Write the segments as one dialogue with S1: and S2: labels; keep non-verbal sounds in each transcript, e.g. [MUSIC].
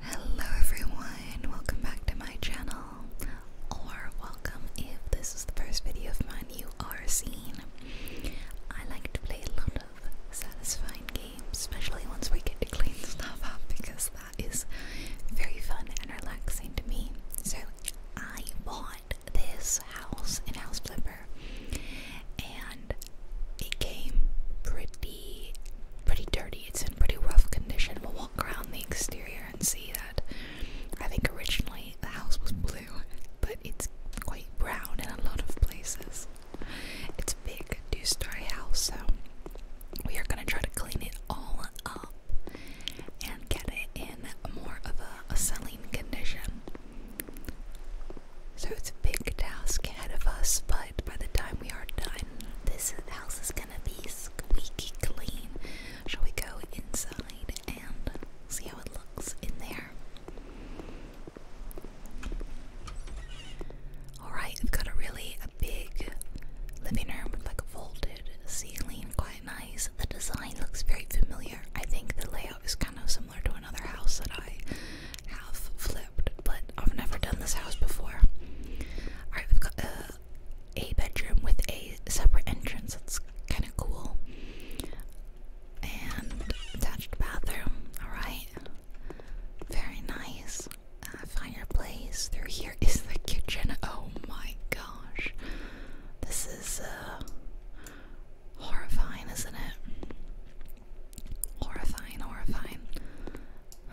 S1: Hello everyone, welcome back to my channel, or welcome if this is the first video of mine you are seeing. I like to play a lot of satisfying games, especially once we get to clean [LAUGHS] stuff up because that is very fun and relaxing to me. So I bought this house in House Flipper and it came pretty pretty dirty. It's in pretty rough condition. We'll walk around the exterior and see that I think originally the house was blue, but it's quite brown in a lot of places. It's a big two-story house, so we are gonna try to clean it all up and get it in more of a, selling condition. So it's a big task ahead of us, but by the time we are done, this house is gonna be squeaky clean. Shall we go inside and see how it looks in there? Alright, I've got a really big living room with like a vaulted ceiling, quite nice. The design looks very familiar. I think the layout is kind of similar to another house that I have flipped, but I've never done this house before. Alright, we've got a bedroom with a separate entrance. That's kind of cool. And attached bathroom. Alright. Very nice. fireplace. Through here is the kitchen. Oh my gosh. This is uh, horrifying, isn't it? Horrifying, horrifying.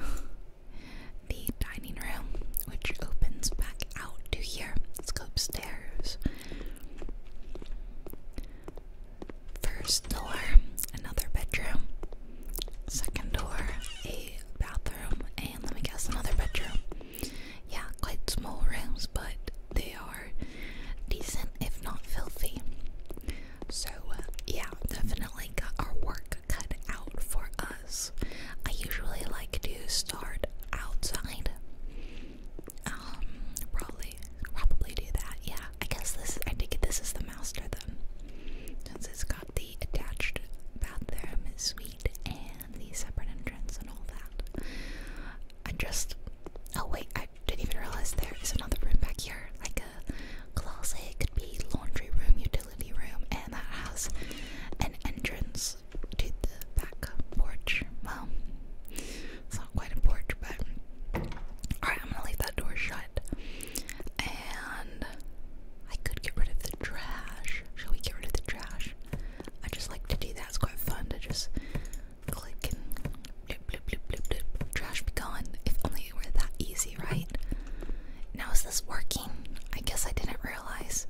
S1: [LAUGHS] the dining room, which opens back out to here. Let's go upstairs. First door, another bedroom. Second door, a bathroom, and let me guess, another bedroom. Yeah, quite small rooms, but they are decent if not filthy. So, uh, yeah, definitely got our work cut out for us. I usually like to start outside. Um, probably, probably do that. Yeah, I guess this. I think this is the master then, since it's got the attached bathroom suite and the separate entrance and all that. I just. Oh wait, I didn't even realize there is another room back here, like a closet. It could be laundry room, utility room, and that has an entrance to the back porch. Well, it's not quite a porch, but alright, I'm gonna leave that door shut. And I could get rid of the trash. Shall we get rid of the trash? I just like to do that. It's quite fun to just click and Trash be gone. If only it were that easy, right? Now is this working? I guess I didn't realize.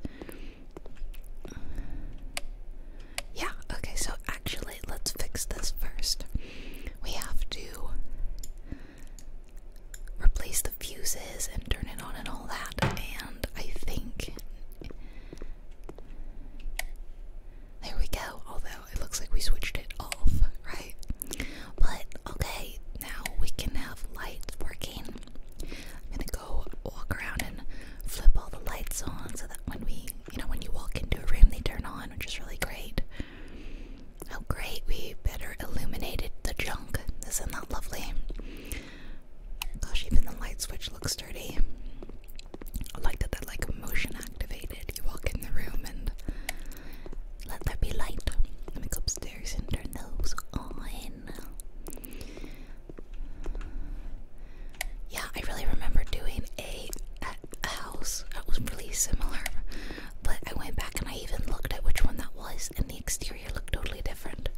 S1: Yeah, okay, so actually, let's fix this first. We have to replace the fuses and turn it on and all that, and I think. There we go, although it looks like we switched it off, right? But okay, now we can have lights working. I'm gonna go walk around and flip all the lights on so that when we, you know, when you walk into a room, they turn on, which is really great. Oh, great, we better illuminated the junk. Isn't that lovely? Gosh, even the light switch looks dirty. I like that that like motion activated. You walk in the room and let there be light. Let upstairs and turn those on. Yeah, I really remember doing a, a house that was really similar, but I went back and I even looked at which one that was, and the exterior looked totally different.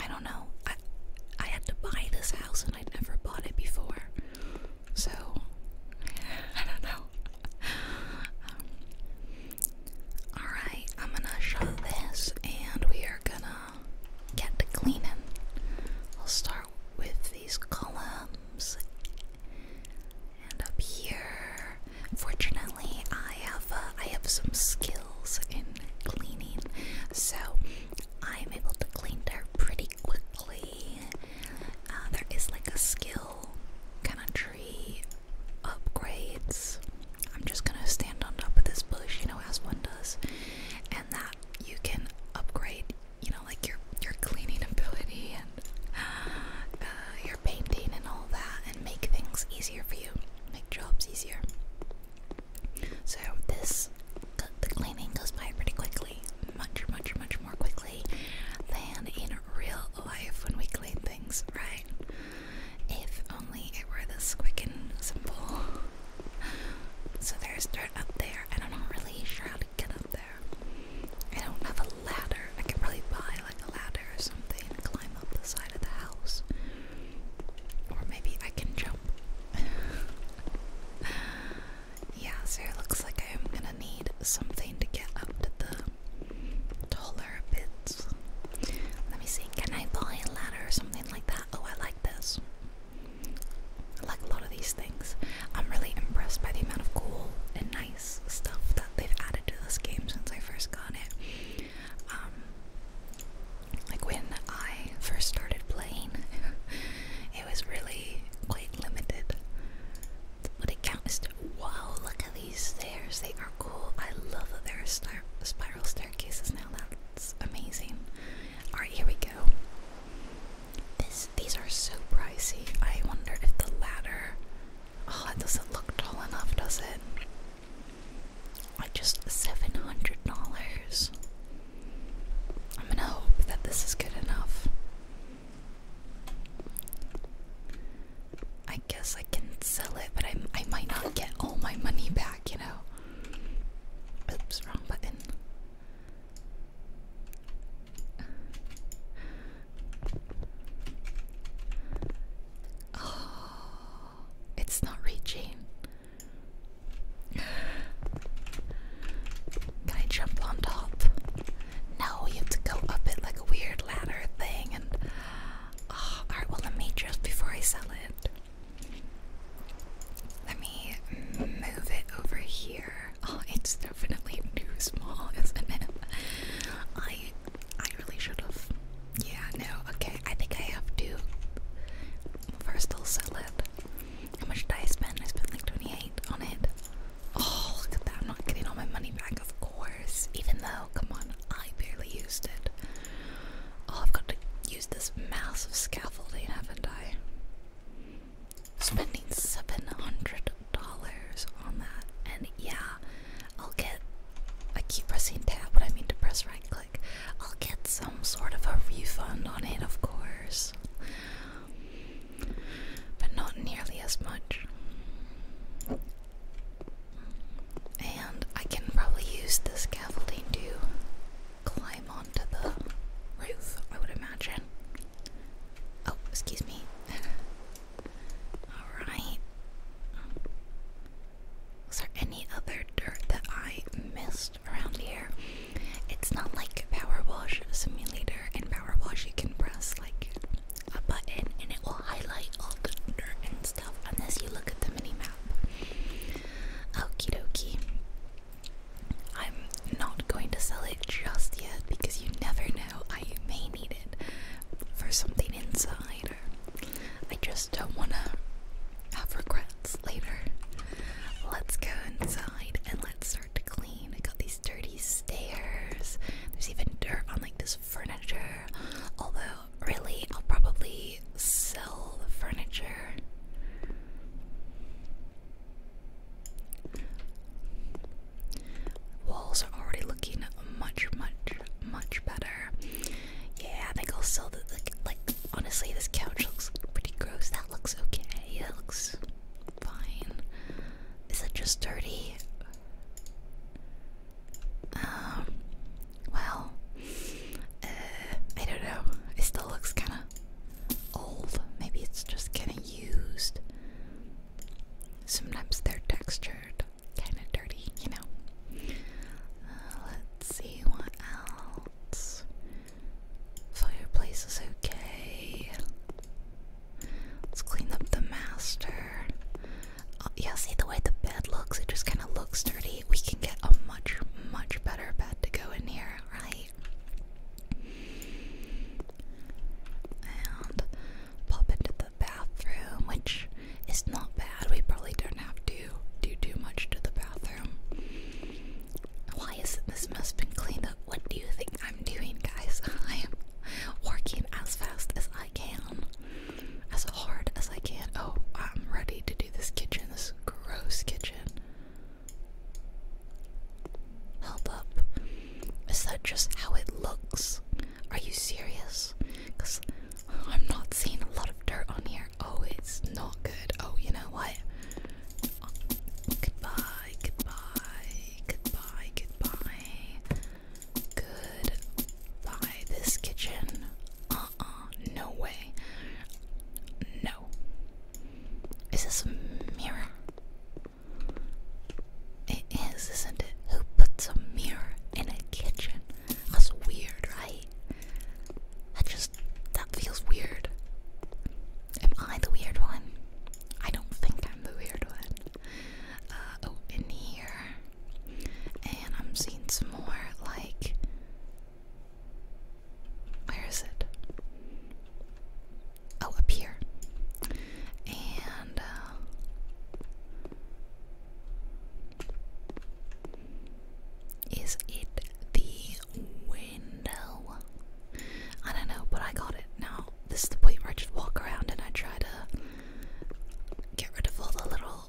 S1: I don't know. I I had to buy this house and I'd never bought it before. So I don't know. Um, Alright, I'm gonna shut this and we are gonna get to cleaning. I'll start with these columns and up here. Fortunately, I have uh, I have some skills in cleaning, so I'm able to clean dirt pretty quickly. Uh, there is like a skill kind of tree upgrades. I'm just gonna stand on top of this bush, you know, as one does, and that you can upgrade, you know, like your your cleaning [LAUGHS] ability and uh, your painting and all that, and make things easier for you, make jobs easier. So this the cleaning goes by pretty quickly much, much, much more quickly than in real life when we clean things, right? If only it were this quick and simple. So there's dirt up there, and I'm not really sure how to get up there. I don't have a ladder. I could probably buy like a ladder or something climb up the side of the house. Or maybe I can jump. [LAUGHS] Yeah, so it looks like I'm gonna need something to get up to the taller bits. Let me see, can I buy a ladder or something like that? Oh, I like this. I like a lot of these things. I'm really impressed by the amount of cool and nice stuff that they've added to this game since I first got it. Um, like when I first started playing, [LAUGHS] it was really quite limited. What a count as Wow, look at these stairs. They are cool. I love that there are spiral staircases now. That's amazing. Alright, here we go. This these are so pricey. I wonder if the ladder Oh, it doesn't look tall enough, does it? Like just seven hundred dollars. I'm gonna hope that this is good enough. I guess I can sell it, but I, might not get all my money back, you know? Oops, wrong button. Oh, it's not reaching. Can I jump on top? No, you have to go up it like a weird ladder thing. And oh, all right, well let me just before I sell it, let me move it over here. Oh, it's definitely too small, [LAUGHS] isn't it? I I really should have. Yeah, no. Okay, I think I have to. First, I'll sell it. How much did I spend? I spent like twenty eight on it. Oh, look at that. I'm not getting all my money back, of course. Even though, come on, I barely used it. Oh, I've got to use this massive scaffolding, haven't I? Spending $700 on that. And yeah, I'll get. I keep pressing tab, but I mean to press right click. I'll get some sort of a refund on it, of course but not nearly as much. And I can probably use the scaffolding to climb onto the roof, I would imagine. Oh, excuse me. [LAUGHS] Alright. Was there any other dirt that I missed around here? It's not like Power Wash Simulator. In Power Wash, you can press like a button and it will highlight all the dirt and stuff unless you look at the mini map. Okie dokie. I'm not going to sell it just yet because you never know. I may need it for something inside or I just don't wanna have regrets later. Let's go inside and let's start to clean. I got these dirty stairs. There's even dirt on like this furniture. Although, really, I'll probably sell the furniture. Walls are already looking much, much, much better. Yeah, I think I'll sell the like. Like honestly, this couch looks pretty gross. That looks okay. It looks fine. Is it just dirty? Um, well, uh, I don't know. It still looks kind of old. Maybe it's just getting used. Sometimes they're textured, kind of dirty, you know. Uh, let's see what else. Fireplace is okay. Let's clean up the master. Oh, yeah, see the way the bed looks? It just kind of looks dirty. We can get a much, much better bed to go in here, right? And pop into the bathroom, which is not bad. We probably don't have to do too much to the bathroom. Why isn't this mess been cleaned up? What do you think I'm doing, guys? [LAUGHS] working as fast as I can, as hard as I can. Oh, I'm ready to do this kitchen, this gross kitchen. Hold up. Is that just how it looks? Are you serious? I'm not seeing a lot of dirt on here. Oh, it's not good. Oh, you know what? goodbye, goodbye, goodbye, goodbye. Goodbye, this kitchen. Uh uh, no way. No. Is this a mirror? It is, isn't it? Who puts a mirror in a kitchen? That's weird, right? That just, that feels weird. Am I the weird one? I don't think I'm the weird one oh, uh, in here, and I'm seeing some more like. Where is it? Oh, up here. And uh, is it the window? I don't know, but I got it. Now, this is the point where I just walk around and I try to get rid of all the little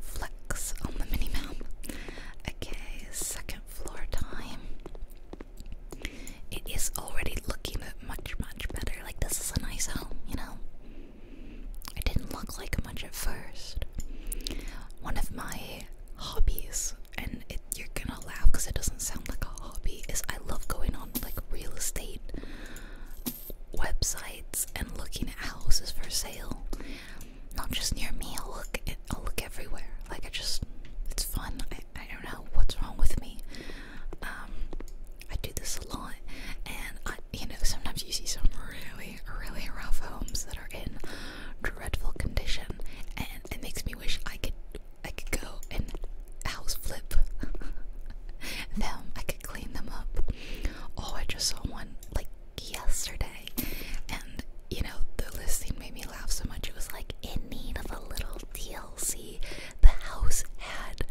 S1: flecks on the mini Okay, second floor time. It is already looking much, much better. Like, this is a nice home, you know? It didn't look like much at first. One of my hobbies, and you're gonna laugh because it doesn't sound like a hobby, is I love going on like real estate websites and looking at houses for sale. Not just near me, i look i look everywhere. Like I just it's fun. I, I don't know what's wrong with me. Um I do this a lot and you know, sometimes you see some really, really rough homes that are in dreadful condition and it makes me wish I could I could go and house flip [LAUGHS] them. I could clean them up. Oh, I just saw one like yesterday, and you know the listing made me laugh so much. It was like in need of a little DLC. The house had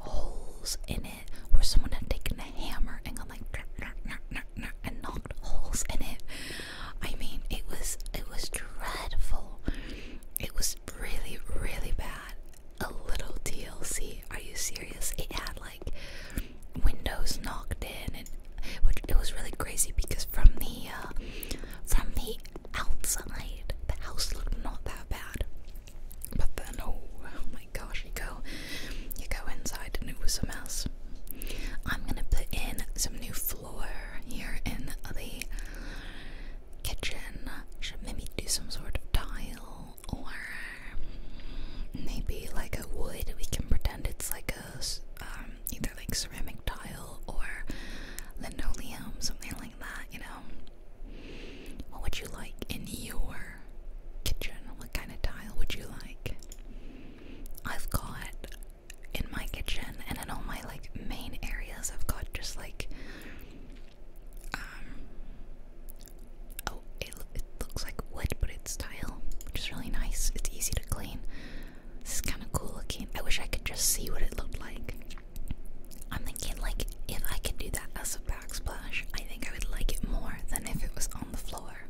S1: holes in it where someone had taken a hammer and gone like and knocked holes in it. I mean, it was it was dreadful. It was really, really bad. A little DLC. Are you serious? It had like windows knocked in, and which it was really crazy because from the uh, from the outside, the house looked not that bad. But then, oh, oh my gosh, you go, you go inside, and it was a mess. I'm gonna put in some new floor here in the kitchen should maybe do some sort of tile or maybe like a wood. We can pretend it's like a um, either like ceramic tile or linoleum, something like that. You know, what would you like in your kitchen? What kind of tile would you like? I've got in my kitchen and in all my like main areas, I've got just like um, oh, it looks like wood, but it's tile, which is really nice. It's easy to clean. This is kind of cool looking. I wish I could just see what it looked like. I'm thinking, like, if I could do that as a backsplash, I think I would like it more than if it was on the floor.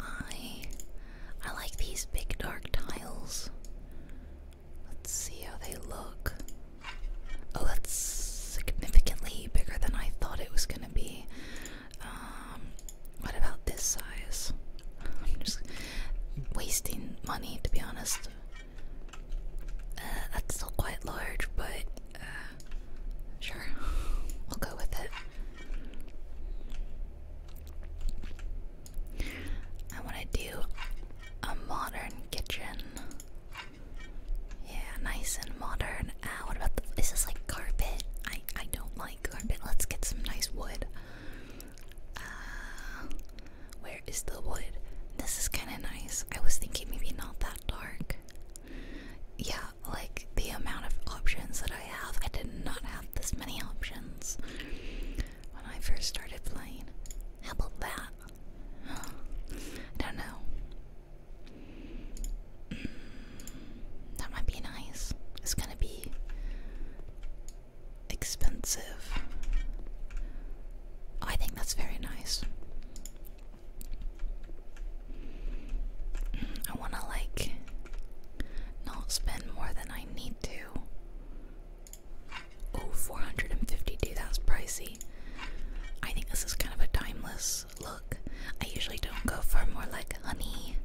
S1: I I like these big dark tiles. Let's see how they look. Oh, that's significantly bigger than I thought it was gonna be. Um, what about this size? I'm just wasting money, to be honest. Uh, that's still quite large, but uh, sure, [LAUGHS] we'll go with it. I want to do a modern kitchen. Yeah, nice and modern. Ah, what about this? is like carpet? I I don't like carpet. Let's get some nice wood. Uh, where is the wood? This is kind of nice. I was thinking maybe not that dark. Yeah, like the amount of options that I have, I did not have this many options when I first started playing. How about that? I don't know. Mm, that might be nice. It's gonna be expensive. Oh, I think that's very nice. I want to like not spend more than I need to Oh, 450D, that's pricey. I think this is kind of a timeless look. I usually don't go for more like honey,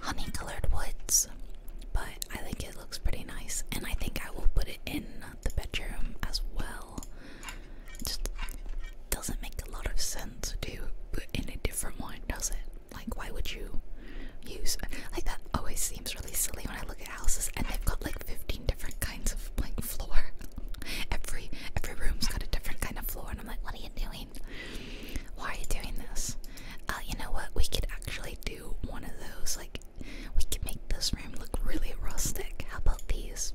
S1: honey colored woods, but I think it looks pretty nice, and I think I will put it in the bedroom as well. It doesn't make a lot of sense to put in a different one, does it? Like, why would you use like that? Always seems really silly when I look at houses and they've got like 15 different kinds of like floor. [LAUGHS] every every room's got a different kind of floor, and I'm like, what are you doing? Why are you doing this? Uh, you know what? We could actually do one of those. Like, we could make this room look really rustic. How about these?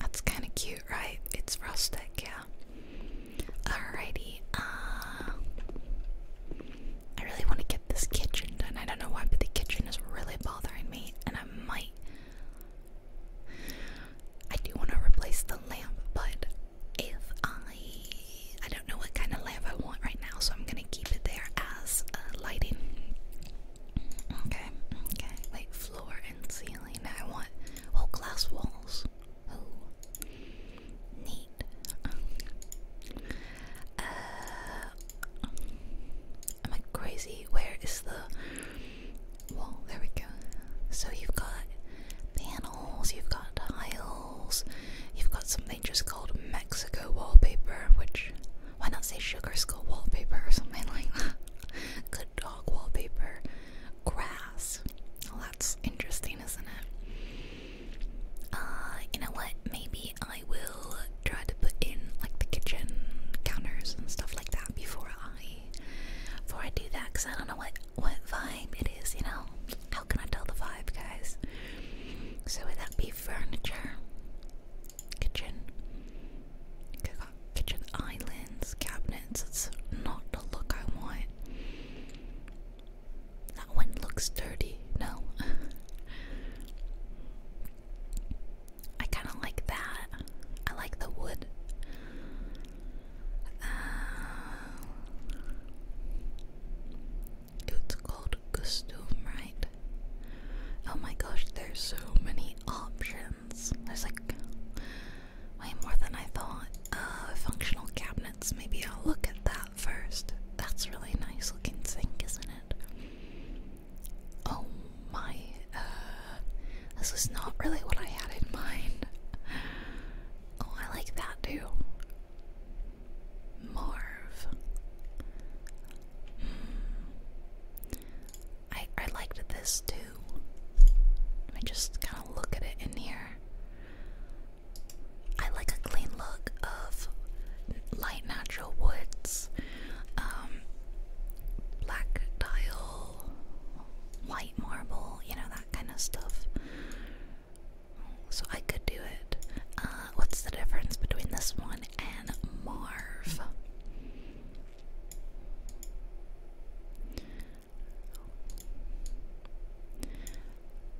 S1: That's kind of cute, right? It's rustic, yeah. Alrighty, uh, I really want to get this kitchen done. I don't know why, but the kitchen is really bothering me, and I might. I do want to replace the lamp, but if I, I don't know what kind of lamp I want right now, so I'm gonna keep it there as uh, lighting. Okay, okay. Wait, floor and ceiling. I want. Oh, glass walls. Oh, neat. Uh, um, am I crazy? Where is the wall? There we go. So you've got panels, you've got tiles, you've got something just called Mexico wallpaper, which why not say sugar skull wallpaper or something like that? [LAUGHS] Good dog wallpaper, grass. that's interesting, isn't it? Uh, you know what? Maybe I will try to put in like the kitchen counters and stuff like that before I before I do that, cause I don't know what what vibe it is. You know, how can I tell the vibe, guys? So would that be furniture, kitchen, cook kitchen islands, cabinets. It's not the look I want. That one looks dirty. No. [LAUGHS] I kind of like that. I like the wood. Uh, it's called Gustoom, right? Oh my gosh, there's so many options. There's like way more than I thought. Uh, functional cabinets, maybe I'll look at that first. That's really nice looking sink, isn't it? Oh my, uh, this is not really what I had in mind. Oh, I like that too. Marv. Hmm. I I liked this too. Let me just kind of look at it in here. I like a clean look of light natural woods, um, black tile, white marble, you know, that kind of stuff. So I could do it. Uh, what's the difference between this one and Marv?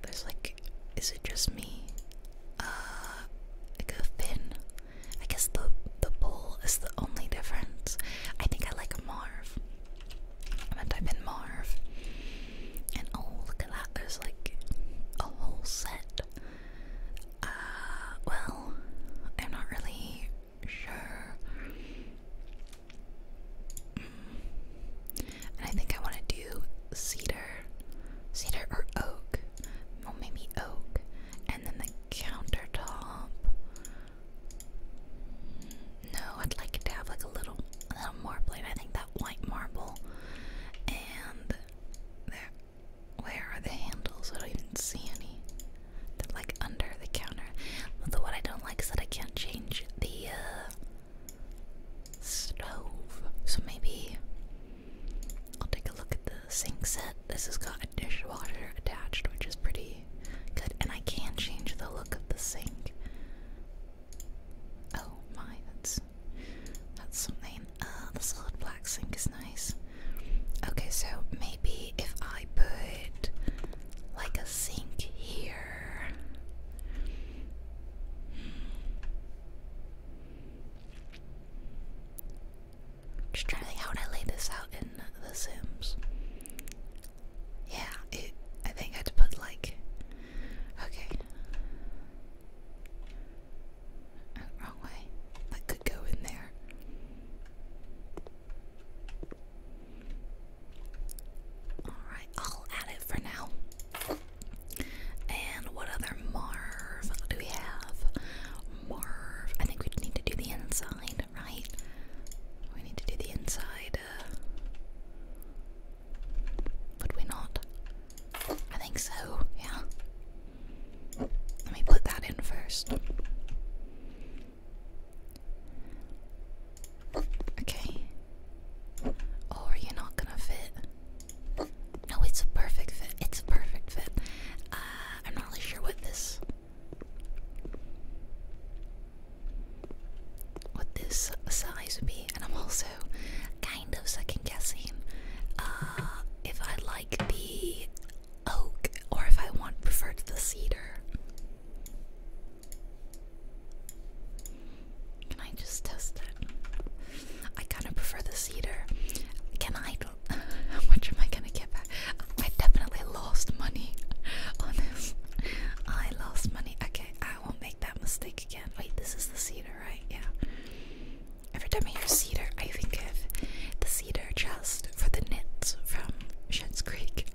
S1: There's like, is it just me? Uh, like a thin. I guess the the bowl is the only difference. I think I like Marv. I'm gonna type in Marv. And oh, look at that. There's like a whole set. Uh, well, I'm not really sure. I think I want to do cedar, cedar or oak. Well, maybe oak. And then the countertop. No, I'd like to have like a little, a little marble. I think that white marble. And there, where are the handles? I don't even see any. They're like under the counter. Although what I don't like is that I can't change the uh, stove. So maybe I'll take a look at the sink set. This has got a dishwasher attached, which is pretty good. And I can change the look of the sink. Oh my, that's that's something. Uh, the solid black sink is nice. Okay, so maybe if I put like a sink here. Just trying how would lay this out in The Sims. Yeah, I think I'd put like. Okay. Uh, wrong way. That could go in there. Alright, I'll add it for now. And what other Marv do we have? Marv. I think we need to do the inside, right? We need to do the inside. Uh, we not? I think so, yeah. Let me put that in first. Okay. Oh, are you not gonna fit? No, it's a perfect fit. It's a perfect fit. Uh, I'm not really sure what this, what this size would be, and I'm also kind of second guessing uh, if I like the oak or if I want prefer the cedar. Can I just test it? I kind of prefer the cedar. Can I? [LAUGHS] How much am I gonna get back? I definitely lost money [LAUGHS] on I lost money. Okay, I won't make that mistake again. Wait, this is the cedar, right? Yeah. Every time I hear cedar, I think of the cedar chest for the knits from Shins Creek.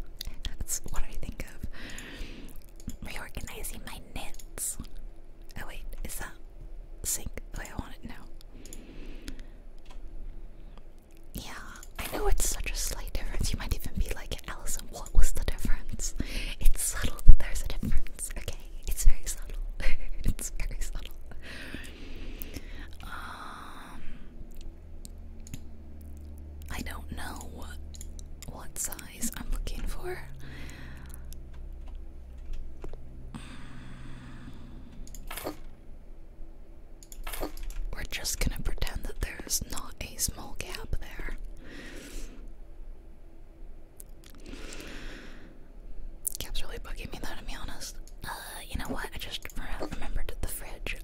S1: [LAUGHS] That's what I think Reorganizing my knits. Oh wait, is that sync the I want it now? Yeah, I know it's such a slight difference. You might even be like, Allison, what was the difference? It's subtle, but there's a difference, okay? It's very subtle. [LAUGHS] it's very subtle. Um I don't know what, size I'm looking for. We're just gonna pretend that there's not a small gap there. Gap's really bugging me though, to be honest. Uh, you know what? I just remembered the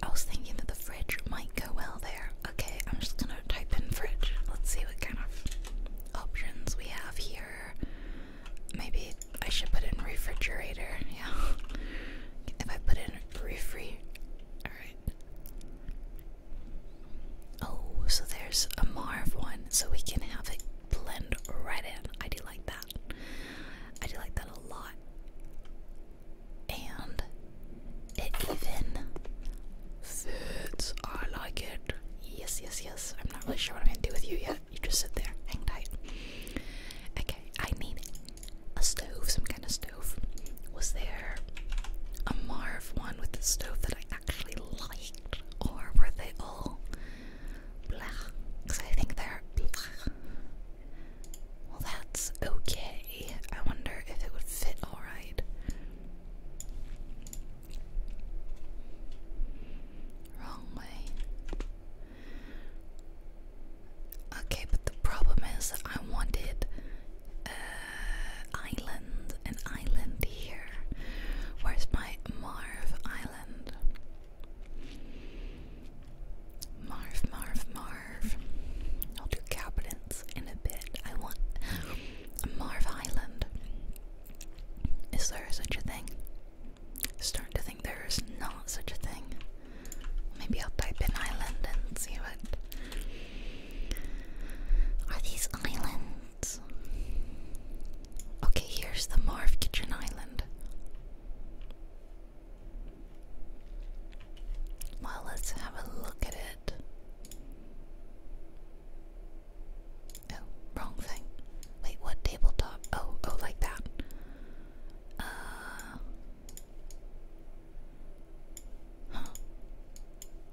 S1: I was thinking that the fridge might go well there. Okay, I'm just gonna type in fridge. Let's see what kind of options we have here. Maybe I should put in refrigerator. Yeah. [LAUGHS] If I put in refri, alright. Oh, so there's a Marv one, so we can have it blend right in. I do like that. I do like that a lot and it even fits. I like it. Yes, yes, yes. I'm not really sure what I'm gonna do with you yet. You just sit there, hang tight. Okay, I need a stove, some kind of stove. Was there a Marv one with the stove that I actually liked, or were they all black? Because I think they're blah. Well, that's okay. I wonder if it would fit alright. Wrong way. Okay, but the problem is I wanted uh, island, an island here. Where's my Marv Island? Marv, Marv, Marv. Marv. I'll do Capitans in a bit. I want Marv Island. Is there such a thing? Starting to think there is not such a thing. Maybe I'll type in island and see what. Are these islands? Okay, here's the Marv Kitchen Island. Well, let's have a look at it. Oh, wrong thing. Wait, what tabletop? Oh, oh, like that. Uh.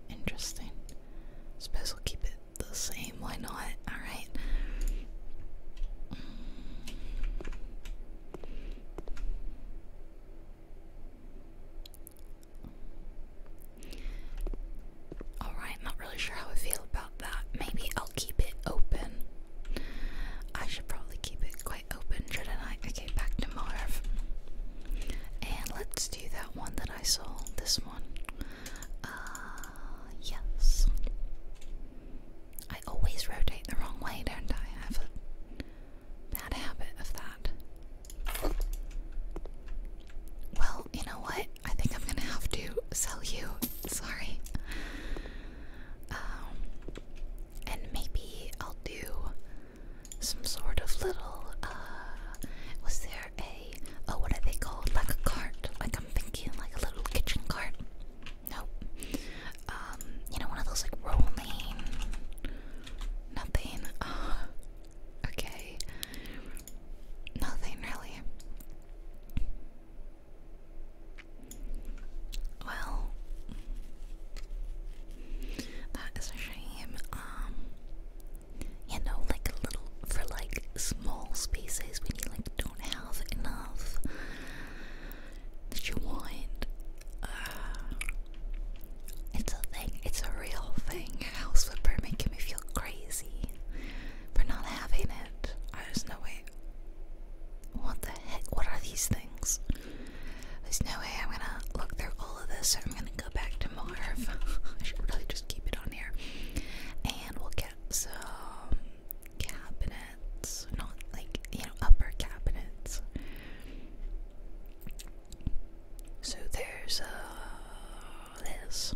S1: Interesting. Suppose keep it the same. Why not? Alright. Mm. Alright, not really sure how I feel about that. Maybe I'll keep it open. I should probably keep it quite open, shouldn't I? Okay, back to Marv. And let's do that one that I saw. This one. Uh, yes. I always rotate the wrong way, don't I? bad habit of that. Well, you know what? I think I'm gonna have to sell you. Sorry. Um, and maybe I'll do some sort of little. Uh, was there a? Oh, what are they called? Like a cart? Like I'm thinking, like a little kitchen cart. Nope. Um, you know, one of those like rolling nothing. Uh, okay, nothing really. Well, that is a shame. Um, you know, like little for like small spaces when you like don't have enough that you want. [SIGHS] it's a thing. It's a real thing. House flipper making me feel crazy for not having it. there's no way. What the heck? What are these things? There's no way I'm gonna look through all of this. So I'm gonna go back to Marv. [LAUGHS] I should really just keep it on here, and we'll get some cabinets. Not like you know upper cabinets. So there's uh, this,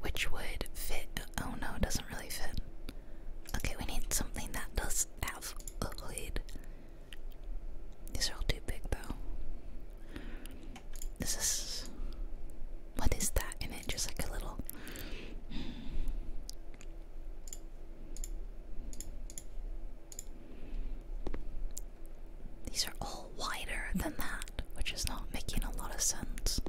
S1: which would fit. Oh no, it doesn't really fit. Okay, we need something that does have a hood. These are all too big though. This is. What is that in it? Just like a little. These are all wider than that, which is not making a lot of sense.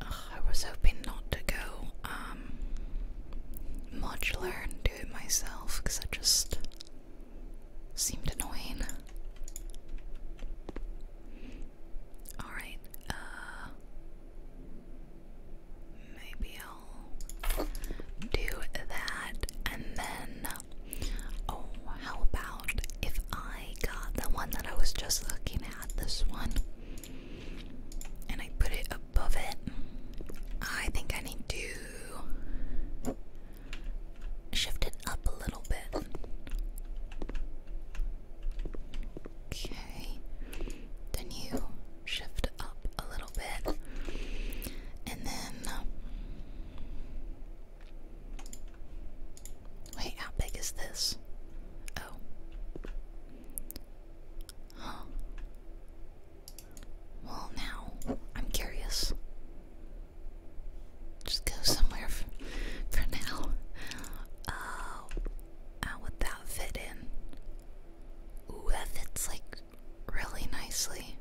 S1: I was hoping not to go modular um, and do it myself because that just seemed annoying. Alright, uh, Maybe I'll do that and then. Oh, how about if I got the one that I was just looking at, this one, and I put it above it? I think I need to shift it up a little bit. Okay. Then you shift up a little bit. And then. Um, wait, how big is this? Oh. Well, now I'm curious just go somewhere for, now. how uh, would that fit in? Ooh, that fits like really nicely.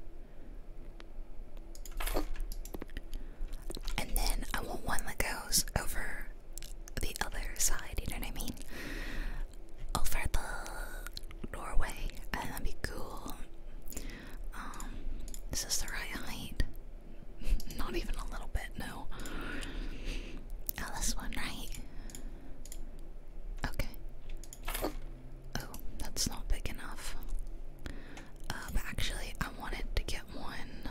S1: And then I want one that goes over the other side, you know what I mean? Over the doorway, and that'd be cool. Um, is this the right height? Not even a little bit, no. Oh, this one, right? Okay. Oh, that's not big enough. Uh, actually, I wanted to get one.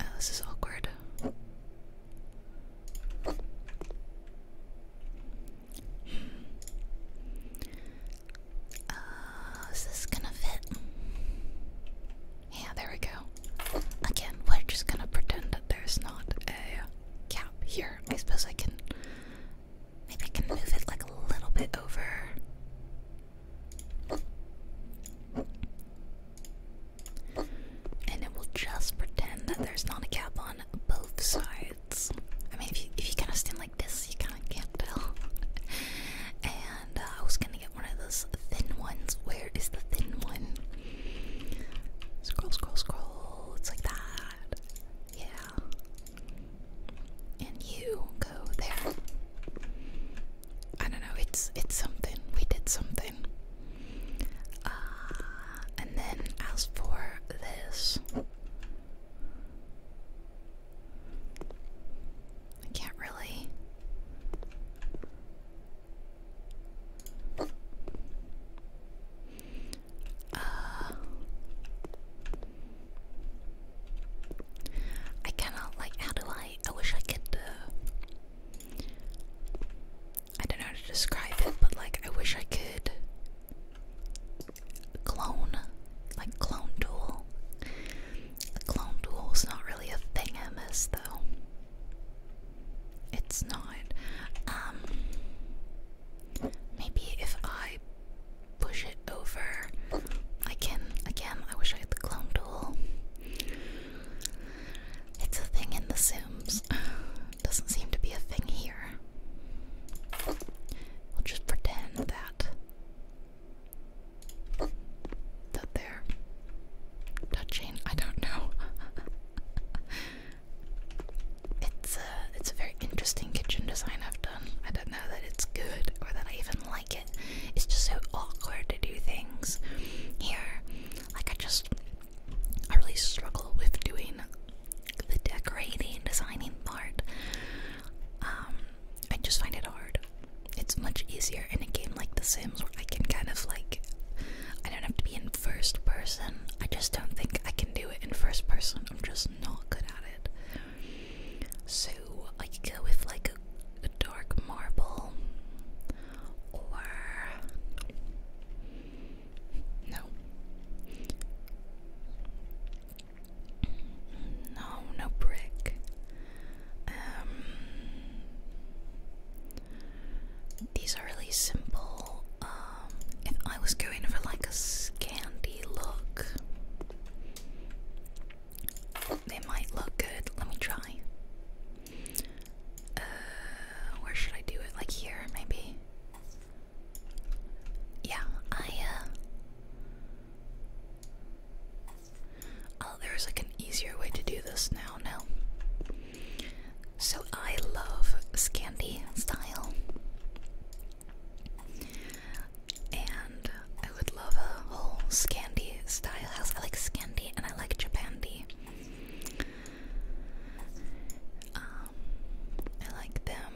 S1: Oh, this is awkward. Hmm. Uh, is this gonna fit? Yeah, there we go. Again, we're just gonna pretend that there's not a cap here. I suppose I can. Maybe move it like a little bit over. And it will just pretend that there's not a cap on both sides. I mean, if you, if you kind of stand like this, you kind of can't tell. [LAUGHS] Uh, I was gonna get one of those thin ones. Where is the thin one? Scroll, scroll, scroll. It's like that. Yeah. And you go there. I don't know. It's it's something. We did something. Uh, and then as for this. I can't really. Uh, I cannot, like, how do I? I wish I could. Uh, I don't know how to describe it, but, like, I wish I could clone, like, clone tool. The Clone Duel's not really a thing MS though. It's not. Um, maybe if I push it over I can again I wish I had the clone duel. It's a thing in the Sims. [SIGHS] Doesn't seem to be a thing here. We'll just pretend that that they touching. I don't know. [LAUGHS] it's a uh, it's a very interesting kitchen design I've done. I don't know that it's good or that I even like it. It's just so awkward to do things here. Like I just I really struggle with doing the decorating, designing part. Um, I just find it hard. It's much easier in a game like The Sims where I can kind of like, I don't have to be in first person. I just don't think I can do it in first person. I'm just not good at it. So I could go with like a, dark marble or. No. No, no brick. Um, these are really simple. Um, if I was going for like a scandy look, they might look good. Let me try. Uh, where should I do it? Like here, maybe. Yeah, I uh, Oh, there's like an easier way to do this now, no? So I love Scandi style. And I would love a whole Scandi style house. I like Scandi and I like Japandi. Um, I like them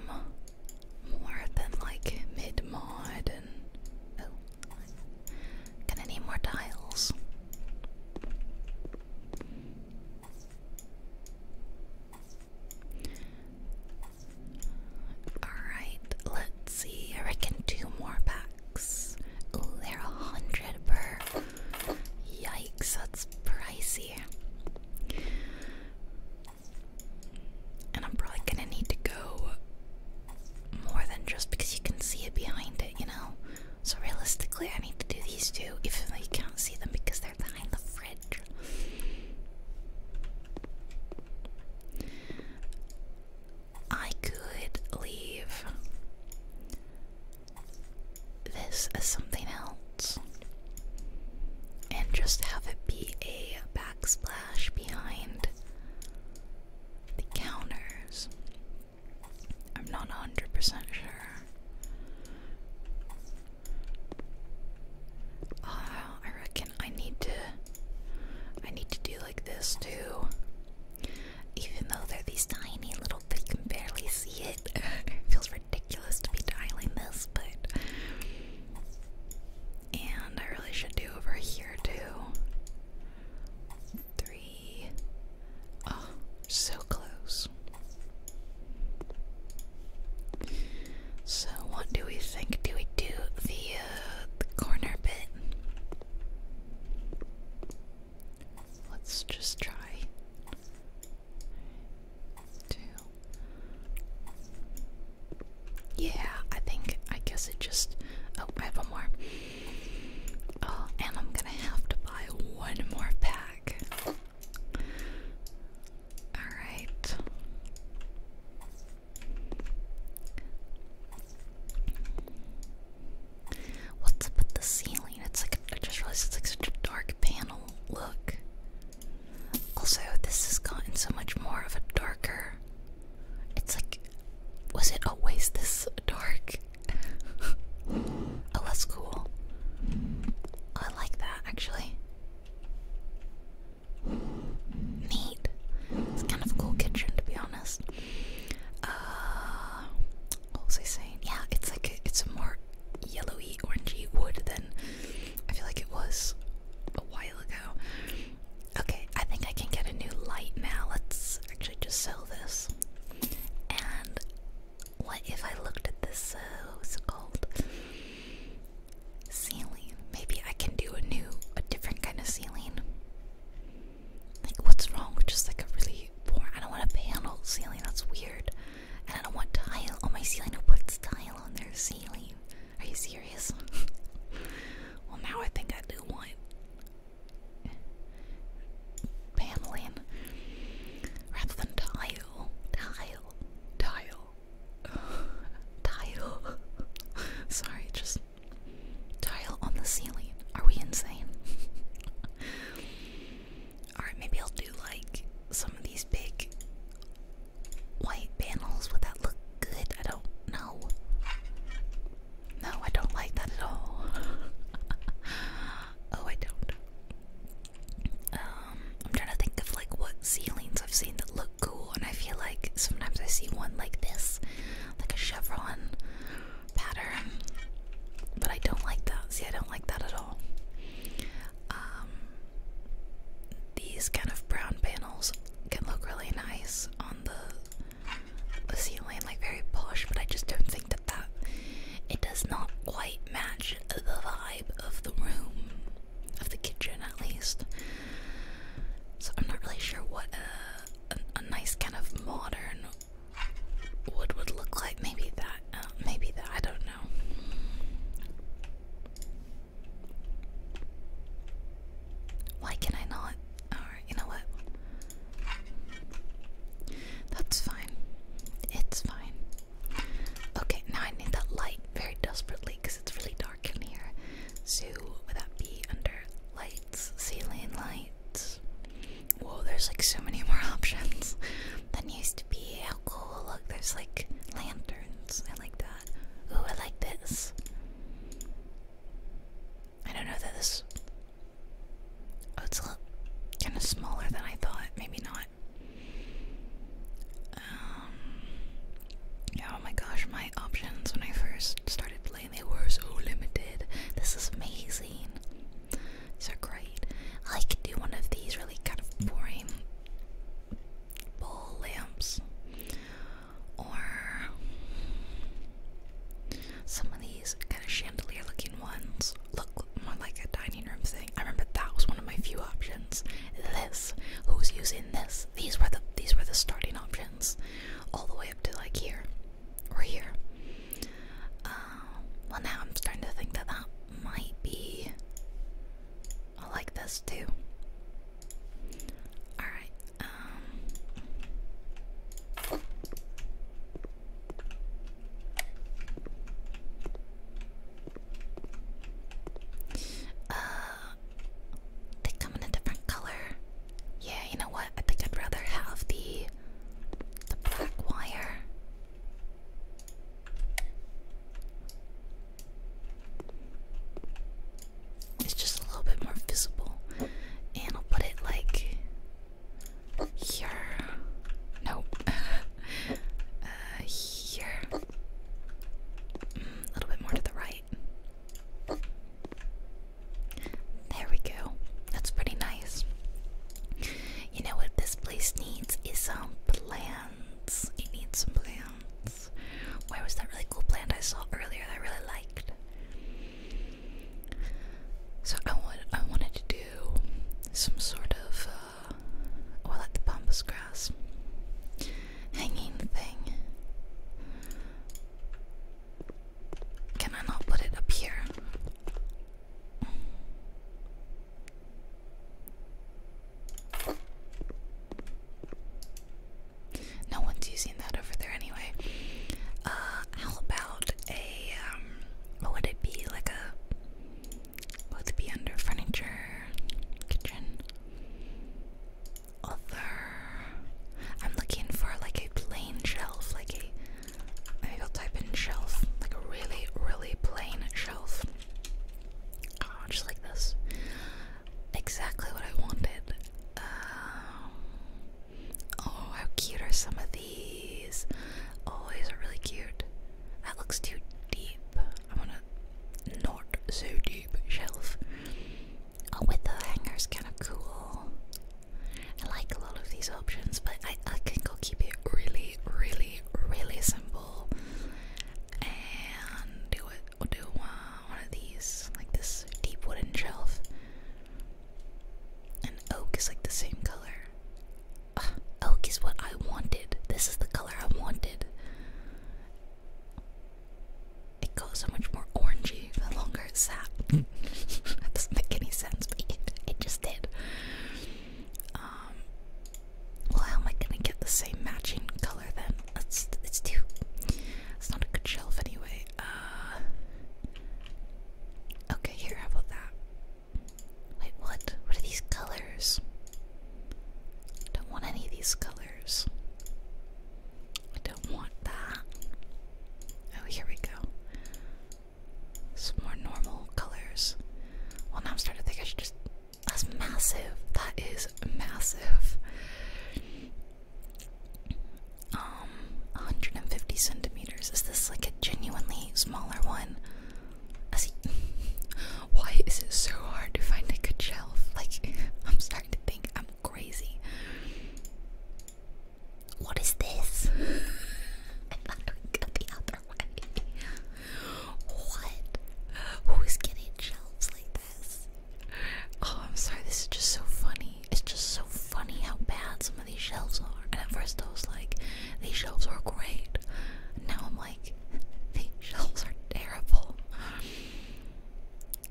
S1: more than like mid mod and oh, Gonna need more tiles. Alright, let's see. I reckon two more packs. Oh, they're a hundred per. Yikes, that's pricey. And I'm probably gonna need to go more than just because you can see it behind it, you know? So realistically, I need to do these two, even though you can't see them because they're behind the fridge. I could leave this as something else and just have it be a backsplash behind the counters. I'm not 100% sure. Uh, I reckon I need to I need to do like this too. Even though they're these tiny little you can barely see it. [LAUGHS] it feels ridiculous to be dialing this, but and I really should do over here too three. Oh, so close. So, what do we think? Do we do the, uh, the corner bit? Let's just try. Two. Yeah, I think, I guess it just. Oh, I have one more. Oh, and I'm gonna have to buy one more pack. Alright. What's up with the ceiling? It's like I just realized it's like such a dark panel look. Also, this has gotten so much more of a darker it's like, was it always this dark? oh, that's cool. I like that actually. Neat. It's kind of a cool kitchen to be honest. Uh, what was I saying? Yeah, it's like it's a more yellowy, orangey wood than I feel like it was a while ago. Okay, I think I can get a new light now. Let's actually just sell this. And what if I looked at this, uh, was it called? Ceiling. Maybe I can do a new, a different kind of ceiling. Like, what's wrong with just like a really boring, I don't want a panel ceiling, that's weird. And I don't want tile on oh, my ceiling. Who puts tile on their ceiling? Are you serious? [LAUGHS] well, now I think I do want paneling rather than tile. Tile. Tile. [SIGHS] tile. [LAUGHS] Sorry, just tile on the ceiling. Are we insane? [LAUGHS] Alright, maybe I'll do like some of these big white panels. Would that look good? I don't know. No, I don't like that at all. [LAUGHS] oh, I don't. Um, I'm trying to think of like what ceilings I've seen that look cool, and I feel like sometimes I see one like this, like a chevron pattern, but I don't like that. See, I don't like that at all. Um, these kind of brown panels can look really nice on the a ceiling, like very posh, but I just don't think that that it does not quite match the vibe of the room, of the kitchen at least. So I'm not really sure what a, nice kind of modern wood would look like. Maybe that, uh, maybe that, I don't know. Why can I not? Alright, you know what? That's fine. It's fine. Okay, now I need that light very desperately because it's really dark in here. So, would that be under lights? Ceiling lights? Whoa, there's like so many more [LAUGHS] options than used to be. How cool. Look, there's like lanterns. I like that. Ooh, I like this. I don't know that this. Oh, it's a little kind of smaller than I thought. Maybe not. Um, oh my gosh, my options when I first started playing they were so limited. This is amazing. These are great. I could do one of these really kind of boring bowl lamps. Or some of these kind of chandelier looking ones look more like a dining room thing. I remember that was one of my few options. This, who's using this? These were the these were the starting options, all the way up to like here or here. Um, well, now I'm starting to think that that might be. like this too. All right uh, they come in a different color. Yeah, you know what? I think I'd rather have the the black wire. It's just a little bit more visible, and I'll put it like here. No. [LAUGHS] Uh, here. Mm, a little bit more to the right. There we go. That's pretty nice. You know what this place needs is some plants. It needs some plants. Where was that really cool plant I saw earlier that I really liked? So I want I wanted to do some sort of uh, or like the pampas grass hanging thing. Can I not put it up here? No one's using that over there anyway. Uh, how about a um, would it be? Like a would it be under furniture, kitchen, other? I'm looking for like a plain shelf, like a. will type in shelf, like a really, really plain shelf. Oh, just like this. Exactly what I wanted. Um, Oh, how cute are some of these? Oh, these are really cute. That looks too deep. I want a not so deep shelf. Oh, with the hangers, kind of cool. I like a lot of these options, but I, I think keep it really, really, really simple. And do it. we do one of these, like this deep wooden shelf. And oak is like the same color. oak is what I wanted. This is the color I wanted. It goes so much more orangey the longer it sat. [LAUGHS] that doesn't make any sense, but it, it just did. Um, well, how am I gonna get the same matching color then? It's it's too. It's not a good shelf anyway. Uh, Okay, here, how about that? Wait, what? What are these colors? don't want any of these colors. I don't want that. Oh, here we go. Some more normal colors. Well, now I'm starting to think I should just. That's massive. That is massive um 150 centimeters. Is this like a genuinely smaller one? As [LAUGHS] why is it so hard to find a good shelf? Like [LAUGHS] I'm starting to think I'm crazy. What is this? I thought it would the other way. What? Who's getting shelves like this? Oh, I'm sorry. This is just so funny. It's just so funny how bad some of these shelves are. And at first I was like, these shelves are great. Now I'm like, [LAUGHS] these shelves are terrible.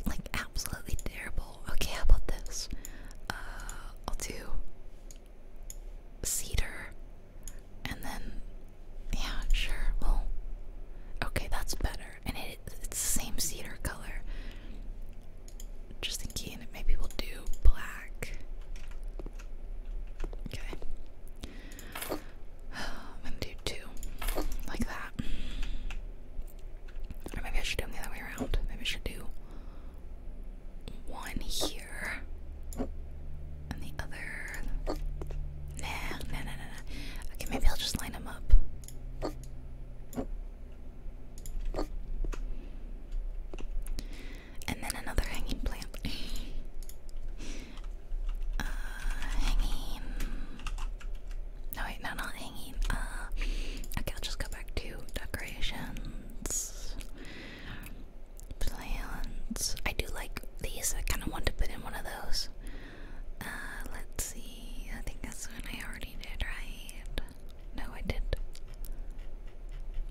S1: Like, absolutely terrible. Okay, how about this? Uh, I'll do cedar. And then, yeah, sure, well, okay, that's better. And it, it's the same cedar color just thinking maybe we'll do black. Okay. [SIGHS] I'm gonna do two. Like that. Or maybe I should do the other way around. Maybe I should do one here. And the other nah, nah, nah, nah. Okay, maybe I'll just line them up. And then another hanging plant. [LAUGHS] Uh, hanging. No, wait, no, not hanging. Uh, okay, I'll just go back to decorations. Plants. I do like these. I kind of want to put in one of those. Uh, let's see. I think that's one I already did, right? No, I did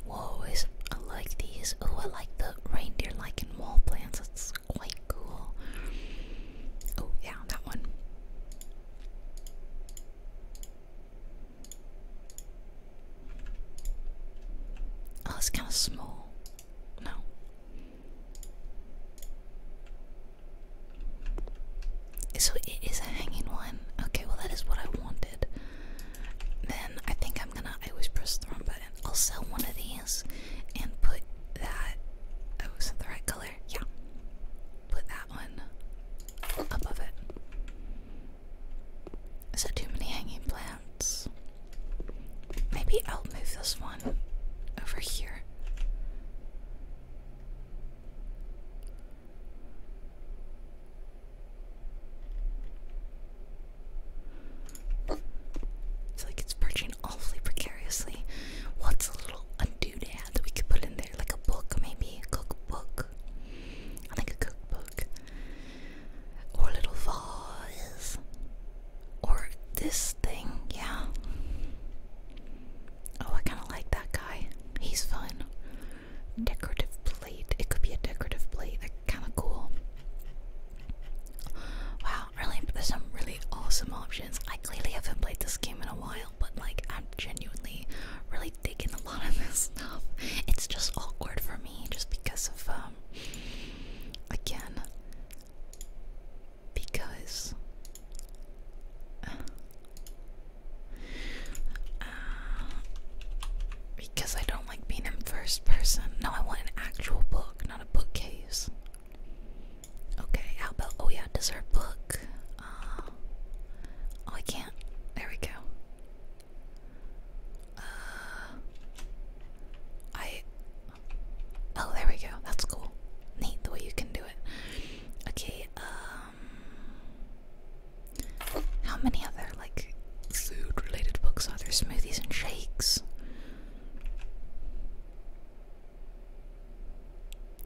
S1: Whoa, is, I like these. Oh, I like the reindeer lichen wall plants. That's quite cool. Oh, yeah, that one. Oh, it's kind of small. No. So it is a hanging one. Okay, well that is what I wanted. Then I think I'm gonna. I always press the wrong button. I'll sell one of these and put that. Oh, is the right color? Yeah. Put that one above it. Is that too many hanging plants? Maybe I'll move this one over here. It's like it's perching awfully precariously. What's a little a doodad that we could put in there? Like a book, maybe? A cookbook? I a cookbook. Or a little vase. Or this thing, yeah. Oh, I kind of like that guy. He's fun decorative plate. It could be a decorative plate. That's kind of cool. Wow, really, there's some really awesome options. I clearly haven't played this game in a while, but like I'm genuinely really digging a lot of this [LAUGHS] stuff. It's just awkward for me, just because of um, again, because. Uh, uh, because I don't like being in first person. No, I want an actual book, not a bookcase. Okay, how about, oh yeah, dessert book. Uh, oh, I can't. There we go. Uh, I, oh, there we go. That's cool. Neat the way you can do it. Okay, um, how many other like food-related books are there? Smoothies and shakes.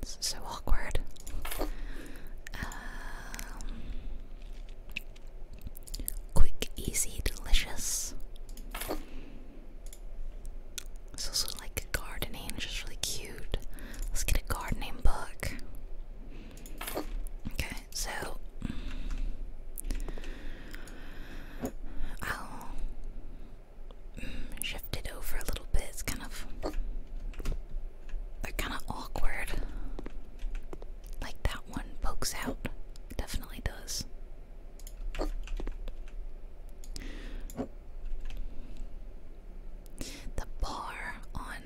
S1: This is so awkward. Um, quick, easy, delicious. It's also like gardening, which is really cute. Let's get a gardening book. Okay, so I'll shift it over a little bit. It's kind of they kind of awkward. Like that one pokes out, definitely does. The bar on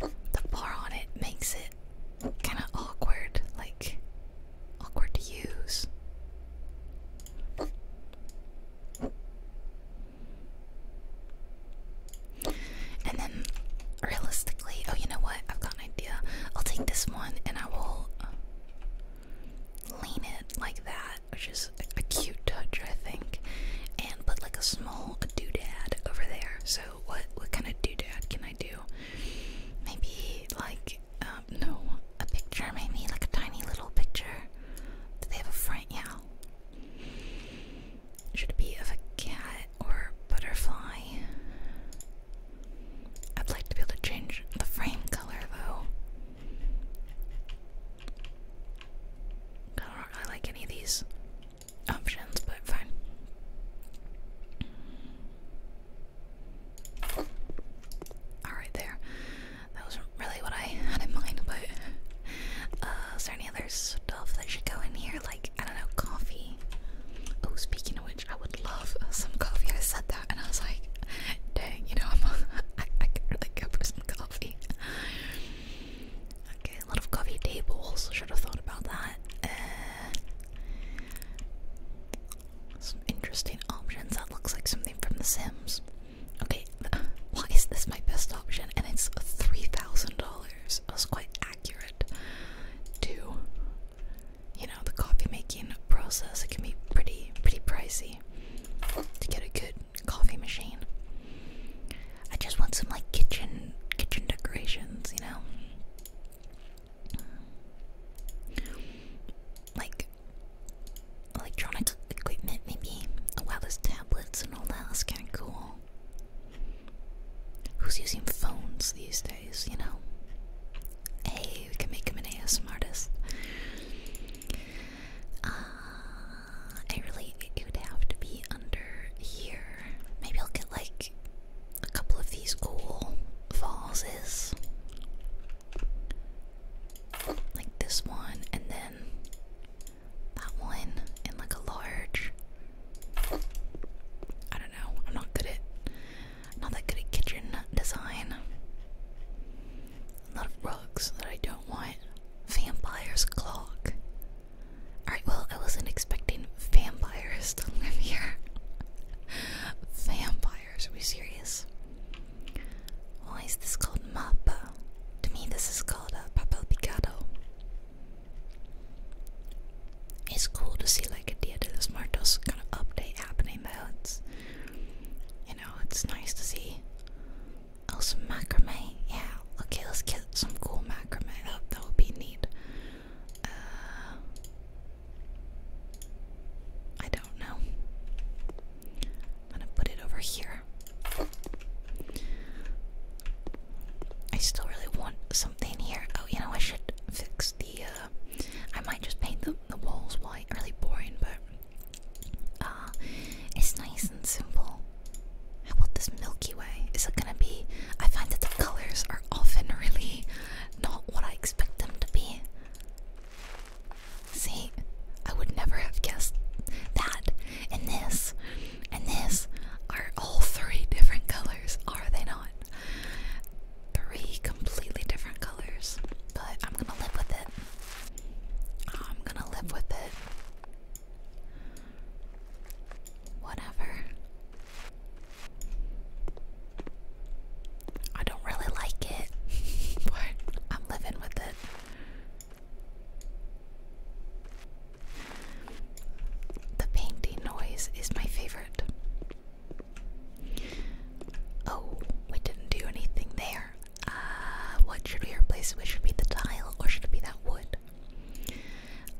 S1: the bar on it makes it kind of awkward, like awkward to use. And then, realistically, oh, you know what? I've got an idea. I'll take this one and I will uh, lean it like that, which is a cute touch, I think, and put like a small Hulk doodad over there. So what what kind of doodad can I do? Maybe like um, no, a picture. Maybe like a tiny little picture. Do they have a front? Yeah. Should it be of a cat or butterfly? I'd like to be able to change the frame color though. I do like any of these options, but fine. Alright, there. That was really what I had in mind, but uh, is there any other stuff that should go in here? Like, I don't know, coffee. Oh, speaking of which, I would love some coffee. I said that and I was like, dang, you know, I'm a, [LAUGHS] I, I go for some coffee. Okay, a coffee tables. Should have thought about that. Uh, some interesting options. That looks like something from The Sims. Okay, [LAUGHS] why is this my best option? And it's $3,000. That's quite accurate to, you know, the coffee making process. It can be pretty, pretty pricey to get a good coffee machine. I just want some like kitchen kitchen decorations, you know, like electronic equipment, maybe. Oh tablets and all that. That's kind of cool. Who's using phones these days, you know? Hey, we can make him an ASM I really it would have to be under here. Maybe I'll get like a couple of these cool vases. Like this one and then that one and like a large I don't know. I'm not good at i not that good at kitchen design. A lot of rugs that I don't want. Vampire's clock. Alright, well, I wasn't expecting vampires to live here. vampires, are we serious? Why is this called Mappa? To me, this is called a uh, papel picado. It's cool to see like a Dia de los Muertos kind of update happening though. It's, you know, it's nice to see. Oh, some macrame. Yeah, okay, let's kill some cool macrame. That, that would be neat. Uh, I don't know. I'm gonna put it over here. I still really want something here. Oh, you know, I should fix the. Uh, I might just paint the, the walls white. Really boring, but. Uh, it's nice and simple. How about this Milky Way? Is it gonna be? I find that the colors are often really not what I expect them to be. See, I would never have guessed that. And this, and this are all three different colors, are they not? Three completely different colors, but I'm gonna live with it. I'm gonna live with it. Whatever. I don't really like it, [LAUGHS] but I'm living with it. The painting noise is my favorite. Oh, we didn't do anything there. Uh, what should we replace? It should be the tile, or should it be that wood?